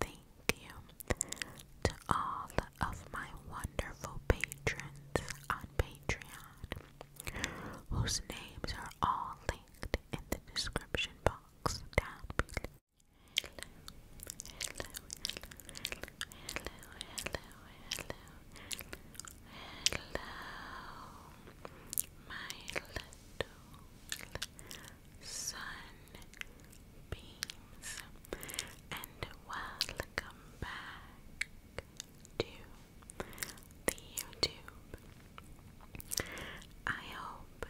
Thank you to all of my wonderful patrons on Patreon, whose names are all linked in the description box down below. Hello, hello, hello, hello, my little, sunbeams, and welcome back to the YouTube. I hope,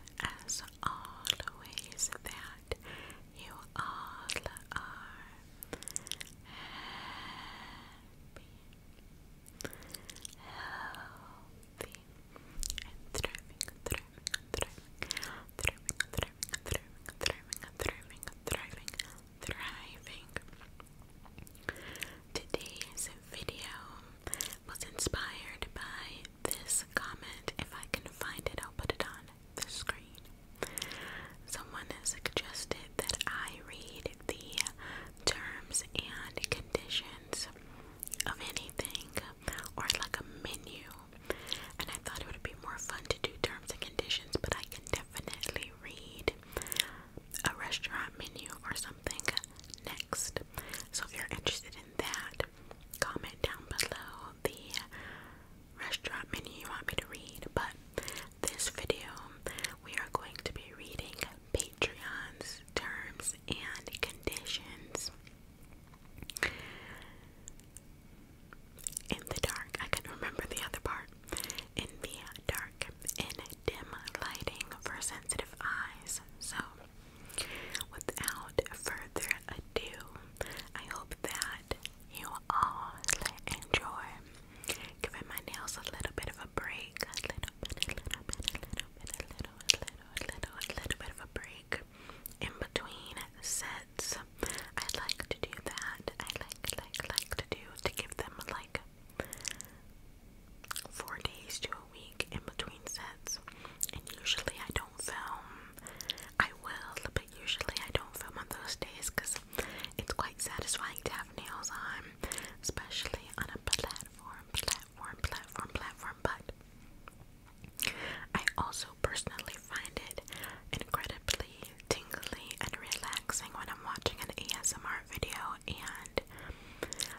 as always, that you all are happy, healthy, thriving, thriving, Today's video was inspired by this comment. If I can find it, I'll put it on the screen. Someone suggested that I read the terms and conditions of anything or like a menu and I thought it would be more fun to do terms and conditions, but I can definitely read a restaurant menu or something next. So if you're interested in that, comment down below the restaurant menu you want me to read. But this video, we are going to be reading Patreon's terms and conditions. In the dark, I couldn't remember the other part. In the dark, in dim lighting for sensitive eyes. So, without further ado, I hope that you all enjoy giving my nails a little bit of a break. a little bit of a break in between sets. I like to do that. I like like like to do to give them like four days to a week in between sets. And usually I don't film. I will, but usually I don't film on those days because it's quite satisfying to have nails on, especially on a platform, platform, platform, platform. But I also personally find it incredibly tingly and relaxing when I'm watching an ASMR video and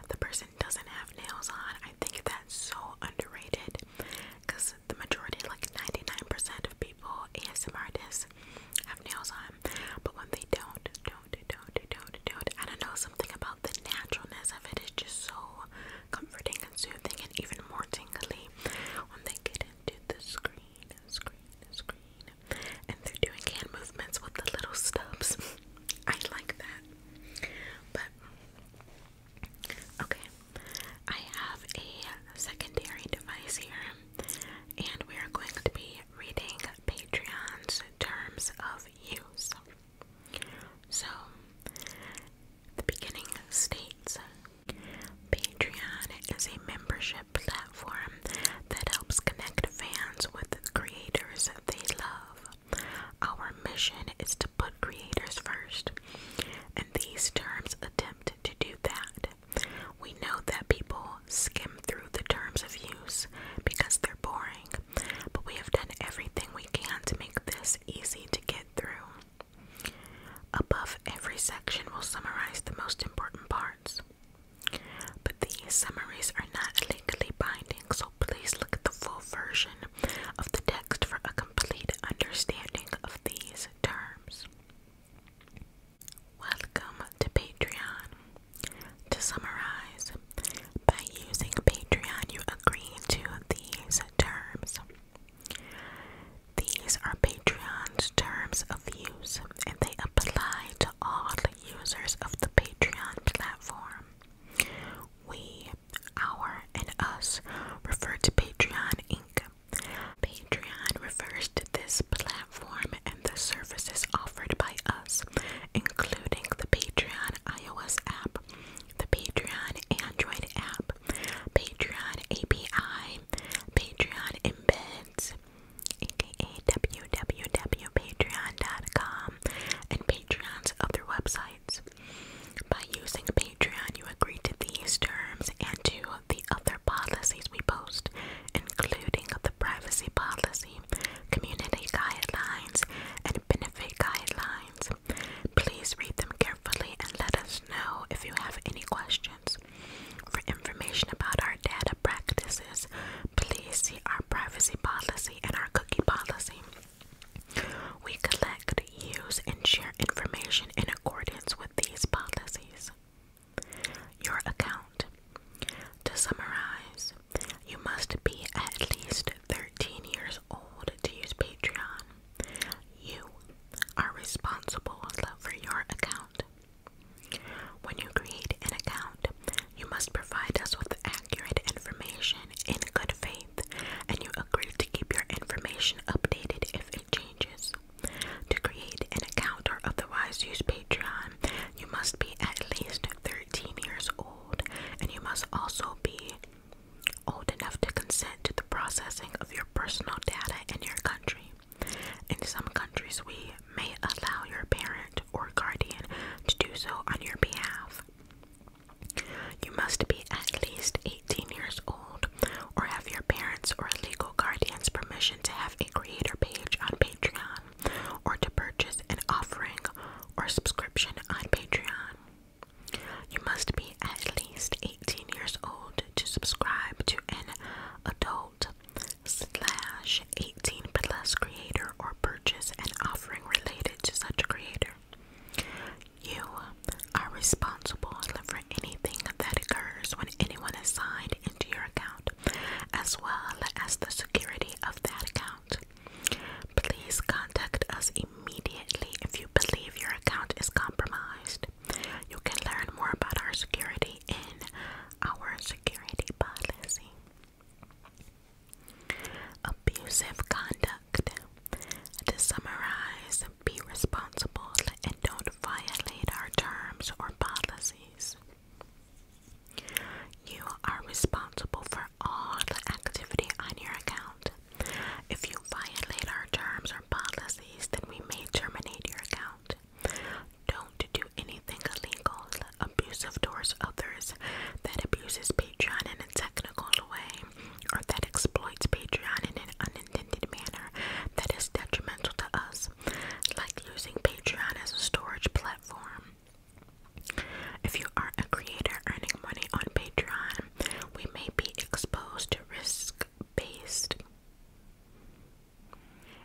the person doesn't have nails on. I think that's so underrated because the majority, like 99% of people, ASMR artists, have nails on, but when they don't, don't, don't, don't, don't, I don't know, something about the naturalness of it is just so comforting and even more tingly when they get into the screen, screen, screen, and they're doing hand movements with the little stubs. I like that. But, okay, I have a secondary device here, and we are going to be reading Patreon's terms of use. So, the beginning states Patreon is a membership platform that helps connect fans with creators they love. Our mission is to put creators first, and these terms attempt to do that. We know that people skim through the terms of use because they're boring, but we have done everything we can to make this easy to get through. Above every section will summarize the most important parts. But these summaries are not legally binding, so please look at the full version of the text for a complete understanding of these terms. Welcome to Patreon. To summarize, by using Patreon, you agree to these terms. These are Patreon's terms of use, and they apply to all users of the Patreon platform. We, our, and us refer to Patreon Inc. Patreon refers to this platform and the services offered by us, including the Patreon iOS app, the Patreon Android app, Patreon API, Patreon embeds, aka www.patreon.com, and Patreon's other websites. By using Patreon, you agree to these terms and to the other policies we post, including the privacy policy, community guidelines, and benefit guidelines. Please read them carefully and let us know if you have any questions. For information about our data practices, please see our privacy policy and our cookie policy. We collect, use, and share information in accordance with these policies. Your account. To summarize, you must be at least 13 years old to use Patreon, you are responsible for your account. When you create an account, you must provide us with accurate information in good faith, and you agree to keep your information updated if it changes. To create an account or otherwise use Patreon, you must be at least 13 years old, and you must also be old enough to consent to the processing of your personal data in your country. In some countries, we may allow your parent or guardian to do so on your behalf. You must be at least 18 years old or have your parents or legal guardian's permission to have a creator page on Patreon or to purchase an offering or subscription on Patreon. You must be at least 18 years old to subscribe to an adult slash 18 plus creator or purchase an offering related to such a creator. You are responsible for anything that occurs when anyone is signed into your account, as well as the security of that account. Please contact us immediately if you believe your account is compromised. You can learn more about our security in our security policy. Abusive conduct. To summarize, be responsible and don't violate our terms or policies. You are responsible for all the activity on your account. If you violate our terms or policies, then we may terminate your account. Don't do anything illegal, abusive towards others, that abuses Patreon in a technical way, or that exploits Patreon in an unintended manner that is detrimental to us, like using Patreon as a storage platform. If you are a creator earning money on Patreon, we may be exposed to risk based.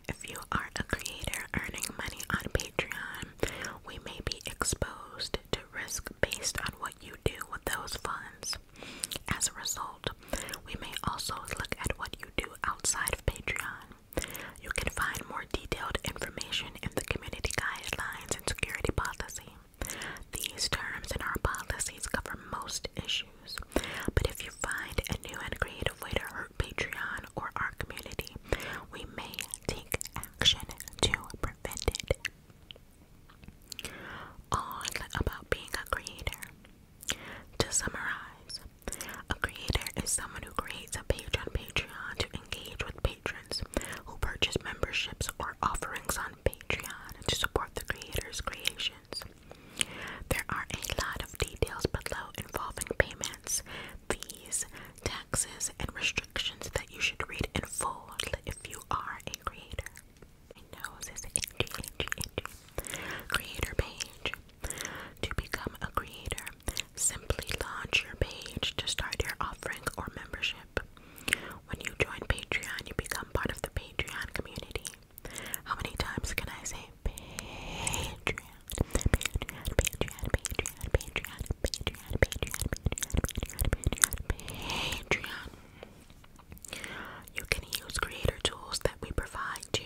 If you are a creator earning money on Patreon, we may be exposed to risk based on what you do with those funds. As a result, we may also look at what you do outside of Patreon. You can find more detailed information in the community guidelines and security policy. These terms in our policies cover most issues, but if you find a new and creative way to hurt Patreon or our community, we may take action to prevent it. On about being a creator. To summarize, a creator is someone who creates a page on Patreon to engage with patrons who purchase memberships or offerings on Patreon to support the creator's creations. There are a lot of details below involving payments, fees, taxes, and restrictions that you should read in full if you are a creator. My nose Creator page. To become a creator, simply launch your page to start your offering or membership. When you join Patreon, you become part of the Patreon community. How many times can I say Patreon? Patreon, Patreon, Patreon, Patreon, Patreon, Patreon, Patreon, Patreon, Patreon. You can use creator tools that we provide to,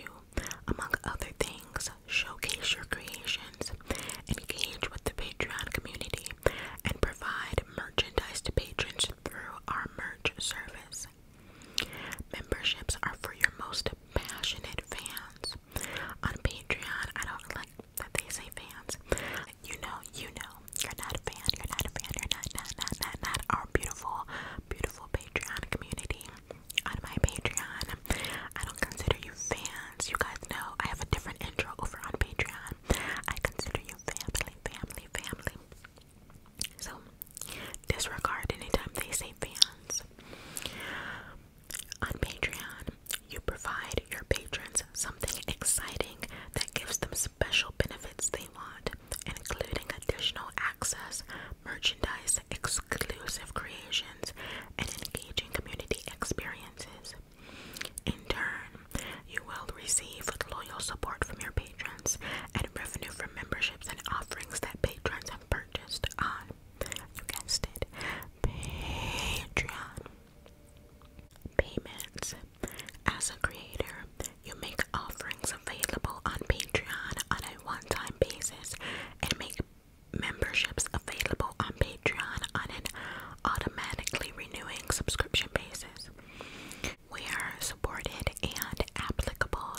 among other things, showcase your creations, engage with the Patreon community, community and provide merchandise to patrons through our merch service. Memberships are for your most passionate fans. On Patreon, I don't like that they say fans. You know, you know, you're not a fan, you're not a fan, you're not, not, not, not, not our beautiful, beautiful Patreon community. On my Patreon, I don't consider you fans you guys know I have a different intro over on Patreon. I consider you family, family, family. So disregard anytime they say fans. On Patreon, you provide your patrons something exciting that gives them special benefits they want, including additional access, merchandise, exclusive creations, and engaging community experiences. In turn, you will receive loyal support from your patrons and revenue from memberships and offerings that patrons have purchased on, ah, you guessed it, Patreon. Payments. As a creator, you make offerings available on Patreon on a one-time basis and make memberships available on Patreon Patreon on an automatically renewing subscription basis. We are supported and applicable.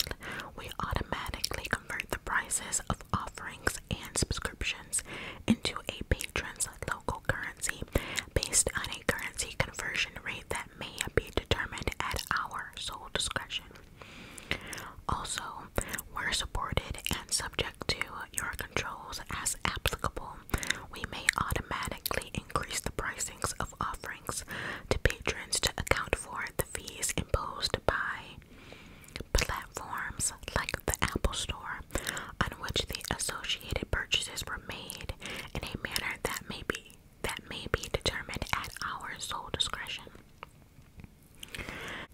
We automatically convert the prices of offerings and subscriptions into a patron's local currency based on a currency conversion rate that may be determined at our sole discretion. Also, we're supported and subject to your controls as applicable, we may automatically increase the pricings of offerings to patrons to account for the fees imposed by platforms like the Apple Store on which the associated purchases were made in a manner that may be that may be determined at our sole discretion.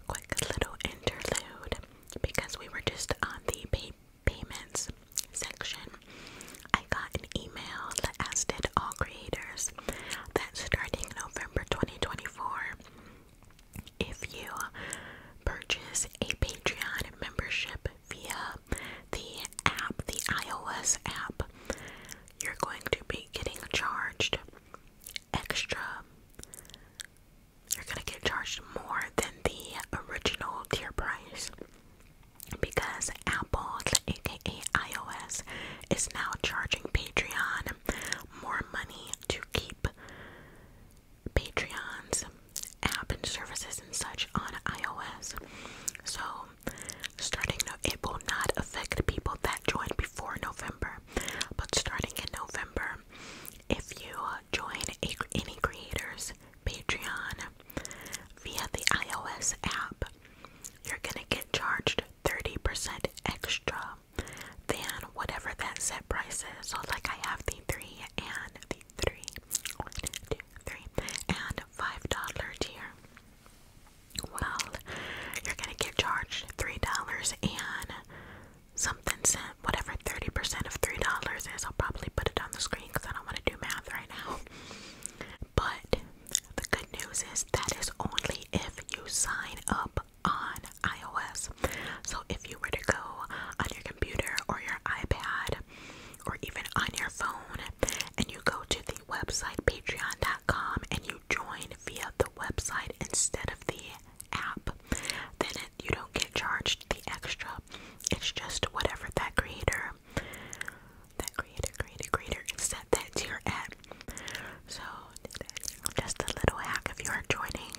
Quick little interlude because we were just on the pay payments section, I got an email that asked did all creators that starting November 2024, if you purchase a Patreon membership via the app, the iOS app, you're going to be getting charged extra you're gonna get charged more than the original tier price because Apple, aka iOS, is now charging Patreon more money to keep Patreon's app and services and such on iOS. So, starting now, it will not affect people that joined before November, but starting in November, if you uh, join any creators Patreon via the iOS app, you're gonna get charged 30% extra than whatever that set price is. So, like, I have the three and the three, one, two, three, and five dollar tier. Well, you're gonna get charged three dollars and something cent, whatever 30% of $3 is. I'll probably put it on the screen because I don't want to do math right now. But the good news is that is only if you sign up on iOS. So if you were to go on your computer or your iPad or even on your phone and you go to the website patreon.com and you join via the website instead of the app, then it, you don't get charged the extra. It's just whatever that creator, that creator, creator, creator set that tier app. So just a little hack if you are joining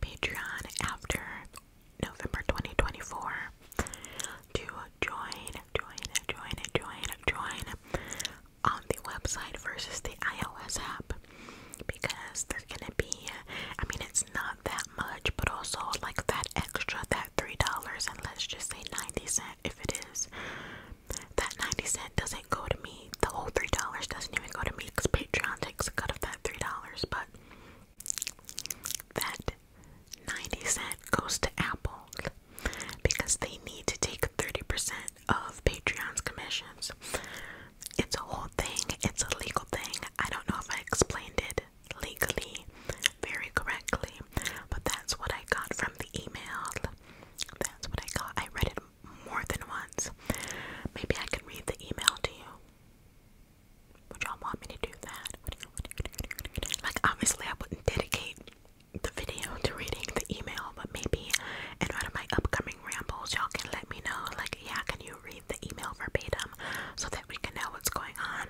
Patreon after November 2024 to join, join, join, join, join on the website versus the iOS app because there's gonna be I mean it's not that much but also like that extra that three dollars and let's just say 90 cent if it is that 90 cent doesn't go to me the whole three dollars doesn't even go to me because Patreon takes a cut of that three dollars but that 90 cent goes to Apple because they need to take 30% of Patreon's commissions. It's a whole thing, it's a legal thing. I don't know if I explained it legally very correctly, but that's what I got from the email. That's what I got. I read it more than once. Maybe I can read the email to you. Would y'all want me to do that? Like, obviously, I wouldn't dedicate the video to reading the email, but maybe in one of my upcoming rambles, y'all can let me know, like, yeah, can you read? the email verbatim so that we can know what's going on.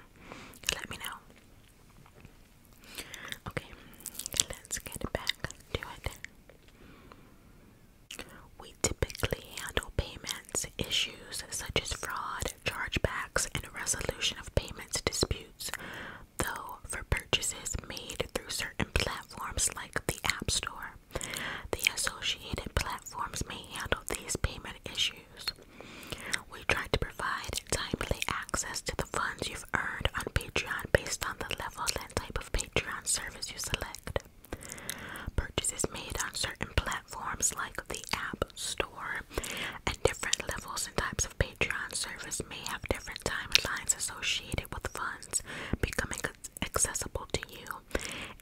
Let me know. Okay, let's get back to it. We typically handle payments issues such as fraud, chargebacks, and resolution of payments disputes, though for purchases made through certain platforms like the App Store. The associated platforms may handle these payment issues. We try to provide timely access to the funds you've earned on Patreon based on the level and type of Patreon service you select. Purchases made on certain platforms like the App Store and different levels and types of Patreon service may have different timelines associated with funds becoming accessible to you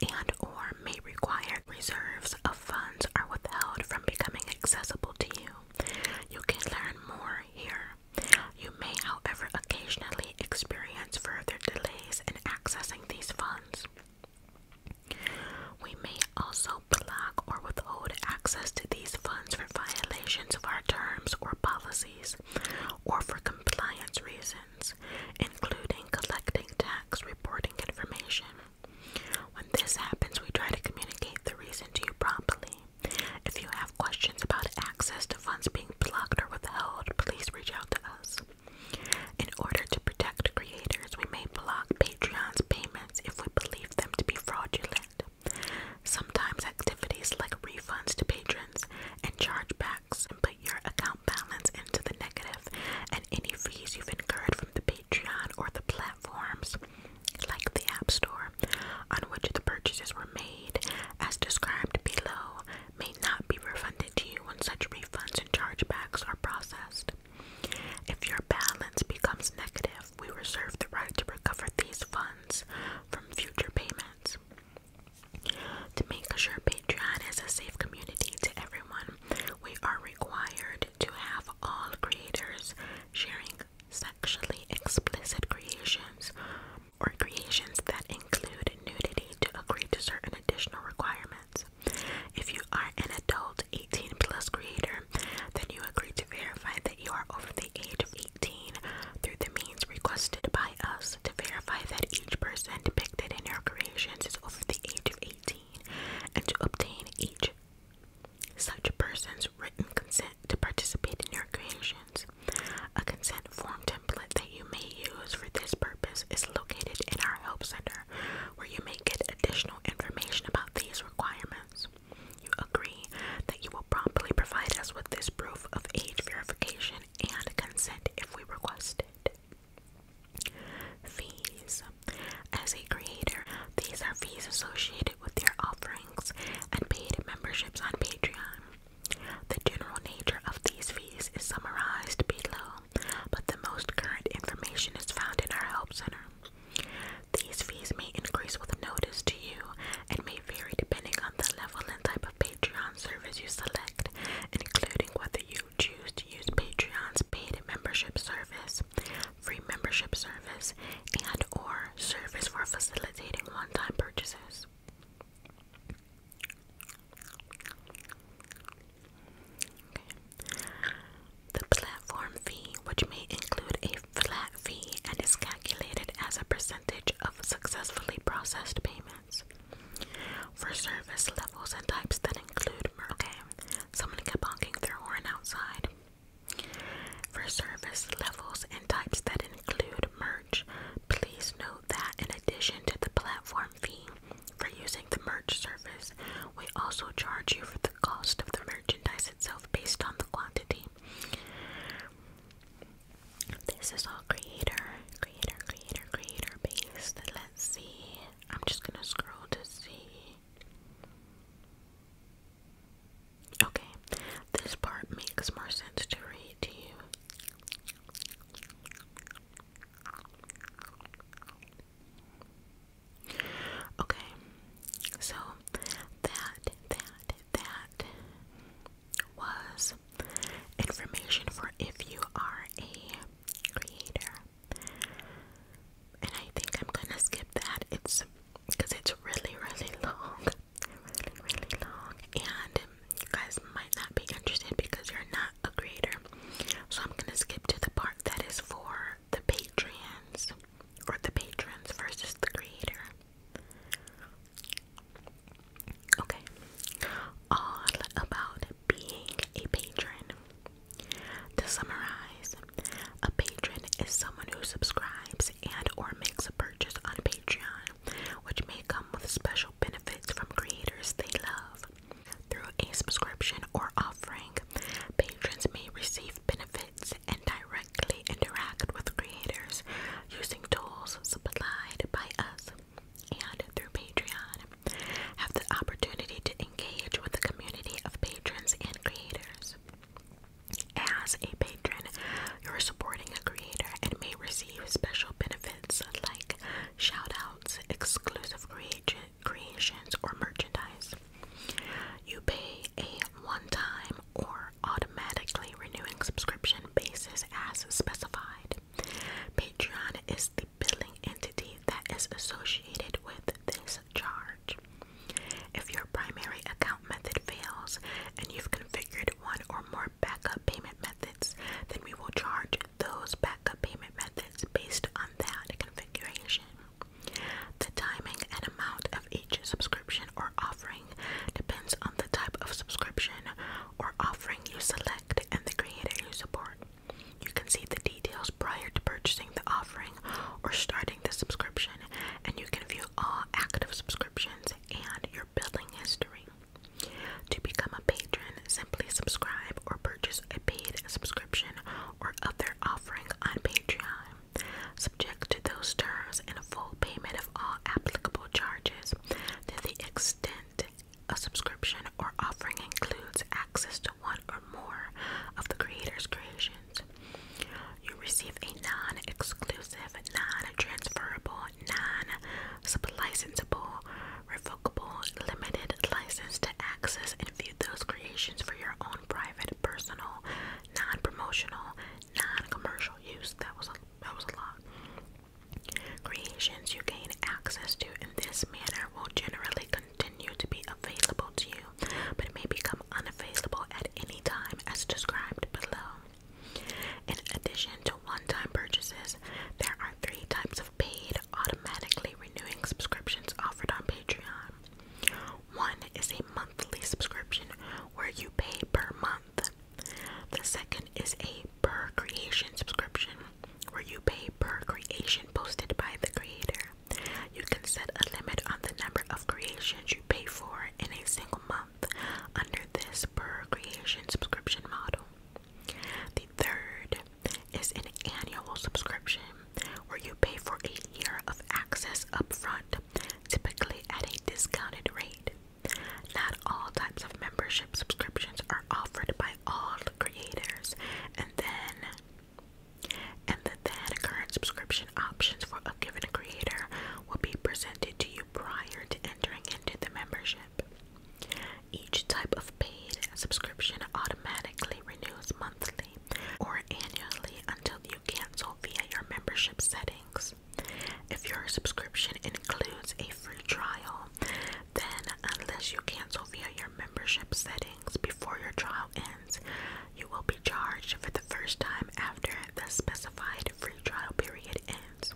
and or may require reserves of funds are withheld from becoming accessible to you. You can learn more here. You may, however, occasionally experience further delays in accessing these funds. We may also block or withhold access to these funds for violations of our terms or policies or for compliance reasons including collecting tax reporting information. When this happens, we try to communicate the reason to you promptly. If you have questions about access to funds being blocked or withheld, please reach out to us. In order to protect creators, we may block Patreon's payments if we believe them to be fraudulent. Sometimes activities like refunds to patrons and chargebacks put your account balance into the negative and any fees you've incurred from the Patreon or the platforms like the App Store on which the purchases were made, as described below, may not be refunded to you when such refunds and chargebacks are processed. If your balance becomes negative, we reserve the right to recover these funds from future payments. To make sure Patreon is a safe community to everyone, we are required to have all creators sharing sexually explicit creations or creations that include nudity to agree to certain additional requirements. If you are an adult 18 plus creator, then you agree to verify that you are over the age of 18 through the means requested by us to verify that each person depicted in your creations is over the age of 18 and to obtain each such person's written consent to participate in your creations. A consent form template that you may use for this purpose is located in our Help Center where you may get additional information about these requirements. You agree that you will promptly provide us with this proof of age verification and consent if we request it. Fees. As a creator, these are fees associated with your offerings and paid memberships on Patreon. The general nature of these fees is summarized below, but the most current information is found in our Help Center. These fees may increase with notice to you and may vary depending on the level and type of payment Patreon service you select, including whether you choose to use Patreon's paid membership service, free membership service, and or service for facilitating one-time purchases. The platform fee, which may include a flat fee and is calculated as a percentage of successfully processed payments for service levels and types that include okay, someone kept honking their horn outside. For service levels and types that include merch, please note that in addition to the platform fee for using the merch service, we also charge you for the cost of the merchandise itself based on the quantity. This is all creator, creator, creator, creator based. Let's see. I'm just gonna scroll to see. Okay, this part makes more sense to read to you. Okay, so that, that, that, was information for if you are a creator. And I think I'm gonna skip that. It's because it's really, really long. Really, really long. And you guys might not be interested because you're not a creator. So I'm gonna skip to the part that is for the patrons or the patrons versus the creator. Okay. All about being a patron. To summarize, a patron is someone who subscribes and or makes a purchase on Patreon, which may come with special benefits from creators they love. Through a subscription or offering, patrons may receive benefits and directly interact with creators using tools supplied by us and through Patreon have the opportunity to engage with the community of patrons and creators. As a patron, you're supporting a creator and may receive special benefits like shoutouts, exclusive creations, or merchandise. You pay a one-time or automatically renewing subscription basis as specified. Patreon is the billing entity that is associated with this charge. If your primary account method fails and you've configured one or more backup payment methods, then we will charge those backup payment methods based on that configuration. The timing and amount of each subscription or offering depends on the type of subscription, or offering you select and the creator you support. You can see the details prior to purchasing the offering or starting the subscription, and you can view all active subscriptions and your billing history. To become a patron, simply subscribe or purchase a paid subscription or other offering on Patreon. Subject to those terms and a full payment of all applicable charges, that the extent a subscription or offering includes access to one or more of the creator's creations. You receive a non exclusive, non transferable, non licensable, revocable, limited license to access and view those creations for your own private, personal, non promotional, non commercial use. That was a that was a lot. Creations you gain access to in this manner will generally continue to be available to you, but it may become unavailable at any time as described below. In addition to one time purchases, there are three types of paid, automatically renewing subscriptions offered on Patreon. One is a monthly subscription where you pay per month the second is a per creation subscription where you pay per creation posted by the creator. You can set a limit on the number of creations you pay for in a single month under this per creation subscription model. The third is an annual subscription where you pay for a year of access upfront, typically at a discounted rate. Not all types of membership subscriptions are offered by all creators, and then and the then current subscription options for a given creator will be presented to you prior to entering into the membership. Each type of paid subscription automatically renews monthly or annually until you cancel via your membership settings. If your subscription includes a free trial, then unless you cancel via your membership settings before your trial ends, you will be charged for the first time after the specified free trial period ends.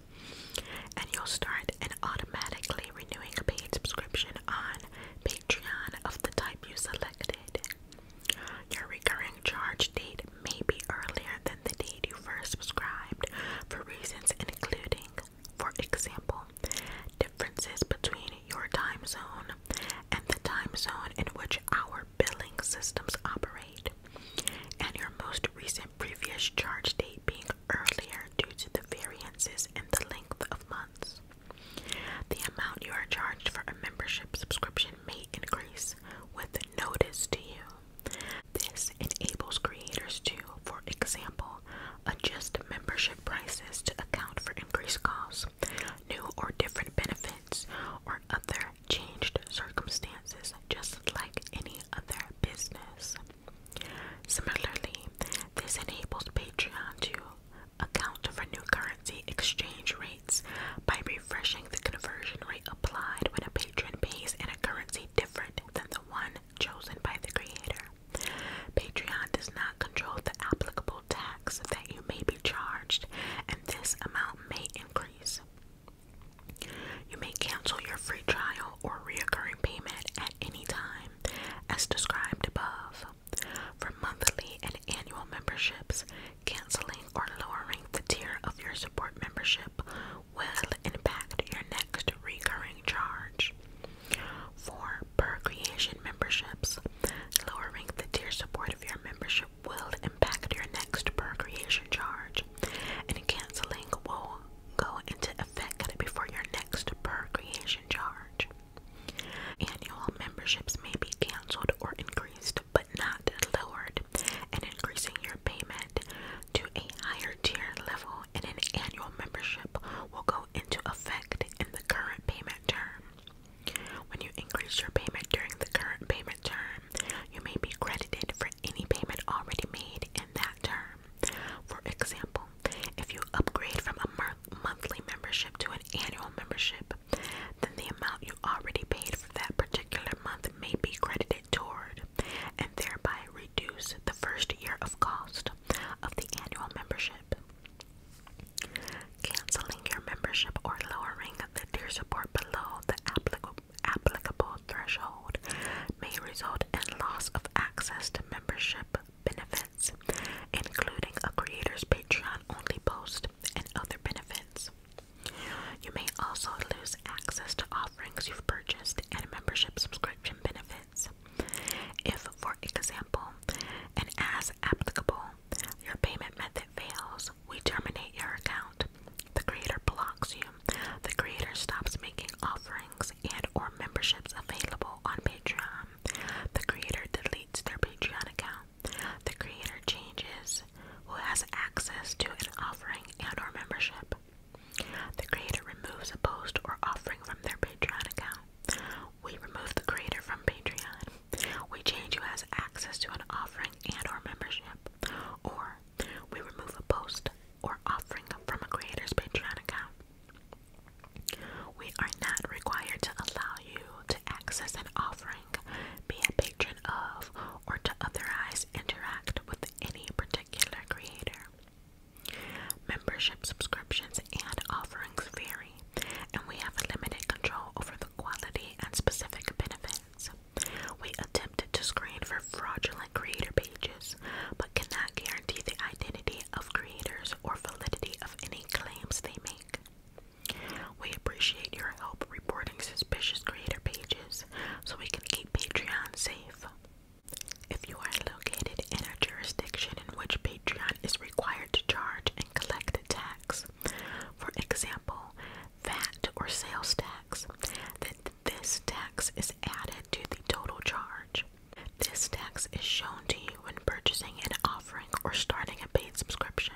And you'll start an automatically renewing paid subscription on Patreon of the type you selected. Your recurring charge date maybe earlier than the date you first subscribed for reasons including, for example, differences between your time zone and the time zone in which our billing systems operate, and your most recent previous charge date being earlier due to the variances in the length of months. The amount you are charged for a membership subscription may increase with notice to you. This enables creators to, for example, adjust membership prices to account for increased costs, new or different benefits, or other changed circumstances, just like any other business. Similarly, this enables Patreon to account for new currency exchange rates by refreshing the conversion rate applied when a patron pays in a currency different than the one chosen by the creator. Patreon does not control the applicable tax that you may be charged, and this amount may increase. You may cancel your free trial or recurring payment at any time, as described above. For monthly and annual memberships, canceling or lowering the tier of your support membership will impact your next recurring charge. for Per creation memberships. Lowering the tier support of your membership will impact your next per creation charge, and canceling will go into effect before your next per creation charge. Annual memberships may be canceled or increased, but not lowered, and increasing your payment to a higher tier level and an annual membership will go into effect in the current payment term. When you increase your payment during the current payment term, you may be credited for any payment already made in that term. For example, if you upgrade from a monthly membership to an annual membership, then the amount you already paid for that particular month may be credited toward and thereby reduce the first year of cost of the annual membership. Canceling your membership or lowering the tier support below the applicable applicable threshold may result in loss of access to membership benefits, including a creator's Patreon only post and other benefits. You may also lose access to offerings you've purchased and membership subscription benefits. If, for example, and as applicable, your payment method fails, we terminate your account. The creator blocks you. The creator stops making offerings and or memberships available on Patreon. The creator deletes their Patreon account. The creator changes who has access to an offering and or membership. The creator removes a post or offering from their Patreon account. We remove the creator from Patreon. We change who has access to an offering and or membership. Or we remove a post or offering from a creator's Patreon account. We are not required to allow you to access an offering, be a patron of, or to otherwise interact with any particular creator. Membership subscriptions and offerings vary, and we have limited control over the quality and specific benefits. We attempted to screen for fraudulent creator pages, but cannot guarantee the identity of creators or validity of any claims they make. We appreciate your help reporting suspicious creator pages so we can keep Patreon safe. If you are located in a jurisdiction in which Patreon is required to charge and collect a tax, for example, VAT or sales tax, then this tax is added to the total charge. This tax is shown to you when purchasing an offering or starting a paid subscription.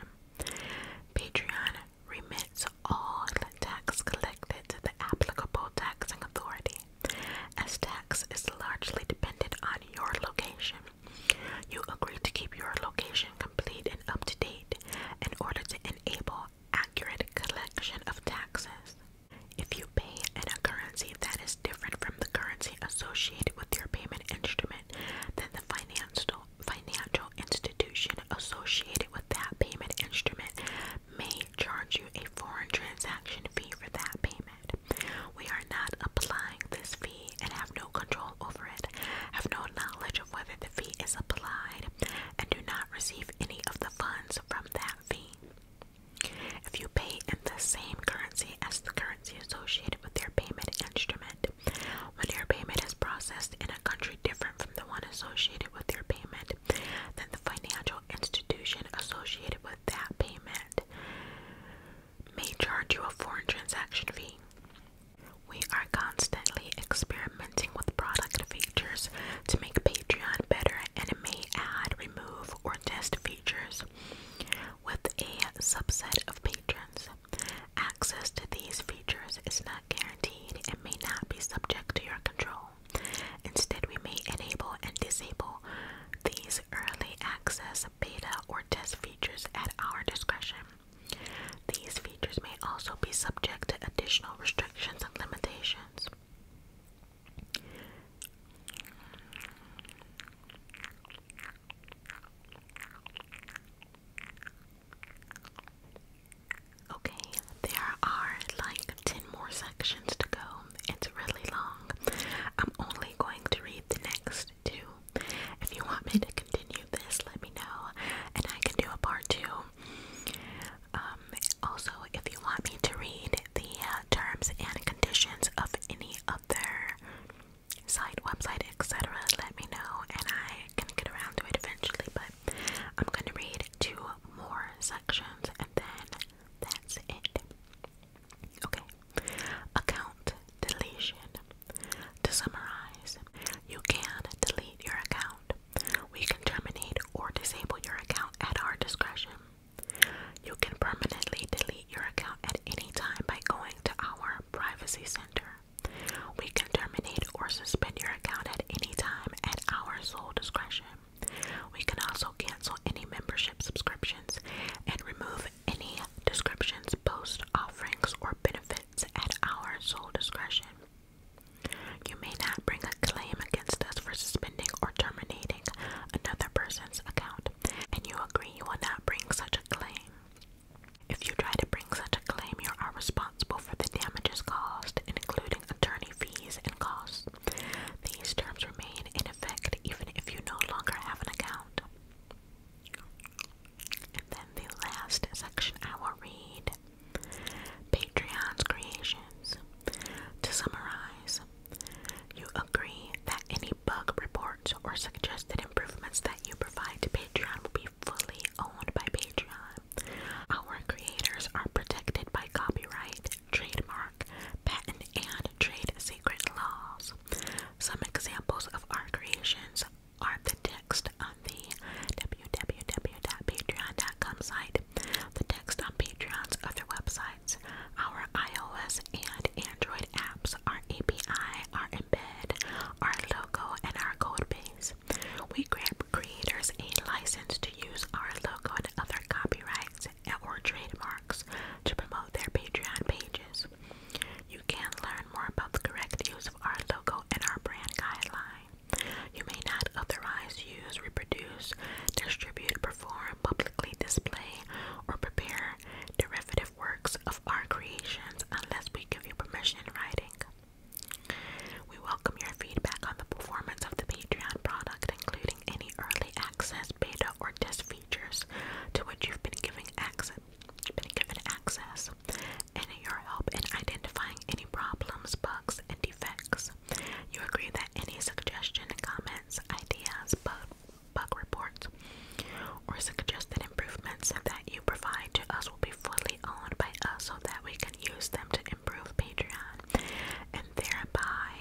Patreon remits all tax collected to the applicable taxing authority. As tax is largely dependent on your location, you agree to keep your location complete and up to date in order to enable accurate collection of taxes. If you pay in a currency that is different from the currency associated with your payment instrument, then the financial financial institution associated with that payment instrument may charge you a foreign transaction fee for that payment. We are not applying this fee and have no control over it, have no knowledge of whether the fee is applied, and do not receive any of the funds from that fee. If you pay in the same currency as the currency associated with your payment instrument, when your payment is processed in a country different from the one associated with your payment, then the financial institution associated with that payment may charge you a foreign transaction fee. We are constantly experimenting with product features to make Patreon better and it may add, remove, or test features with a subset of patrons. Access to these features is not guaranteed may not be subject to your control. Instead, we may enable and disable these early access beta or test features at our discretion. These features may also be subject to additional restrictions and limitations. Okay, there are like 10 more sections to go. It's really long. I'm only going to read the next two. If you want me to continue this, let me know and I can do a part two. Um, also, if you want me to read the uh, terms and conditions of any other site, website, etc., let me know and I can get around to it eventually. But I'm gonna read two more sections and then that's it. Okay, account deletion. To summarize, you can delete your account. We can terminate or disable your account at our discretion. You can permanently delete your account at any time by going to our privacy center. We can terminate or suspend your account at any time at our sole discretion. We can also cancel any membership subscriptions and remove any descriptions, posts, offerings, or benefits at our sole discretion. You may not bring a claim against us for suspending or terminating another person's account, and you agree you will not bring such a claim. If you try to bring such a claim, you are responsible for the damages caused, including attorney fees and costs. These terms remain in effect even if you no longer have an account. And then the last section I will read Patreon's creations. To summarize, you agree that any bug reports or suggested improvements that you provide to Patreon will be fully owned by Patreon. Our creators are protected by copyright, trademark, patent, and trade secret laws. Some examples of our creations are the text on the www.patreon.com site, the text on Patreon's other websites, our iOS and Android apps, our API, our embed, our logo, and our codebase. We grant creators a license to use our logo and other copyrights or trademarks to promote their Patreon pages. You can learn more about the correct use of our logo and our brand guideline. You may not authorize, use, reproduce, distribute, perform, publicly display, or prepare derivative works of our creations unless we give you permission in writing. We welcome your feedback on the performance of the Patreon product, including any early access, beta, or test features to which you've been given access, and your help in identifying any problems, bugs, and defects. You agree that any suggestion, comments, ideas, bug, bug reports, or suggested improvements that you provide to us channels will be fully owned by us so that we can use them to improve Patreon and thereby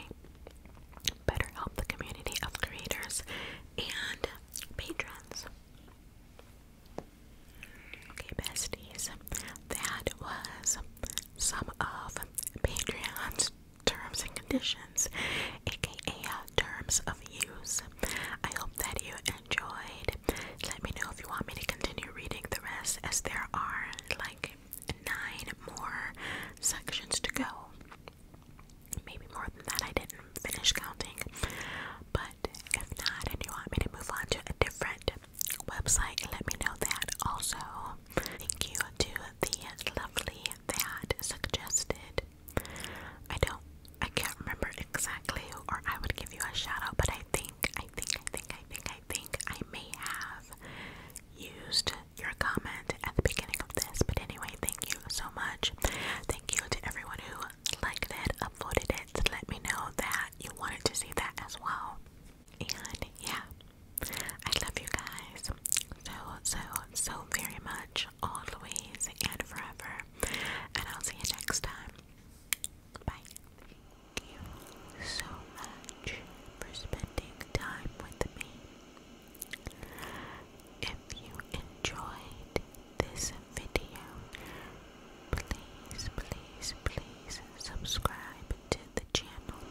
better help the community of creators and patrons. Okay, besties, that was some of Patreon's terms and conditions, aka uh, terms of use. I hope that you enjoyed. Let me know if you want me to continue reading the rest, as there are like nine more sections to go. Maybe more than that, I didn't finish counting. But if not, and you want me to move on to a different website, let me know that also. Thank you to the lovely that suggested. I don't I can't remember exactly or I would give you a shout out, but I think, I think, I think, I think, I think I may have used your comment at the beginning of this. But anyway, thank you so much. Thank you to everyone who liked it, uploaded it. Let me know that you wanted to see that as well. And yeah, I love you guys so, so, so very much, always and forever. And I'll see you next time. Thank you so much for spending time with me. If you enjoyed this video, please, please, please subscribe to the channel.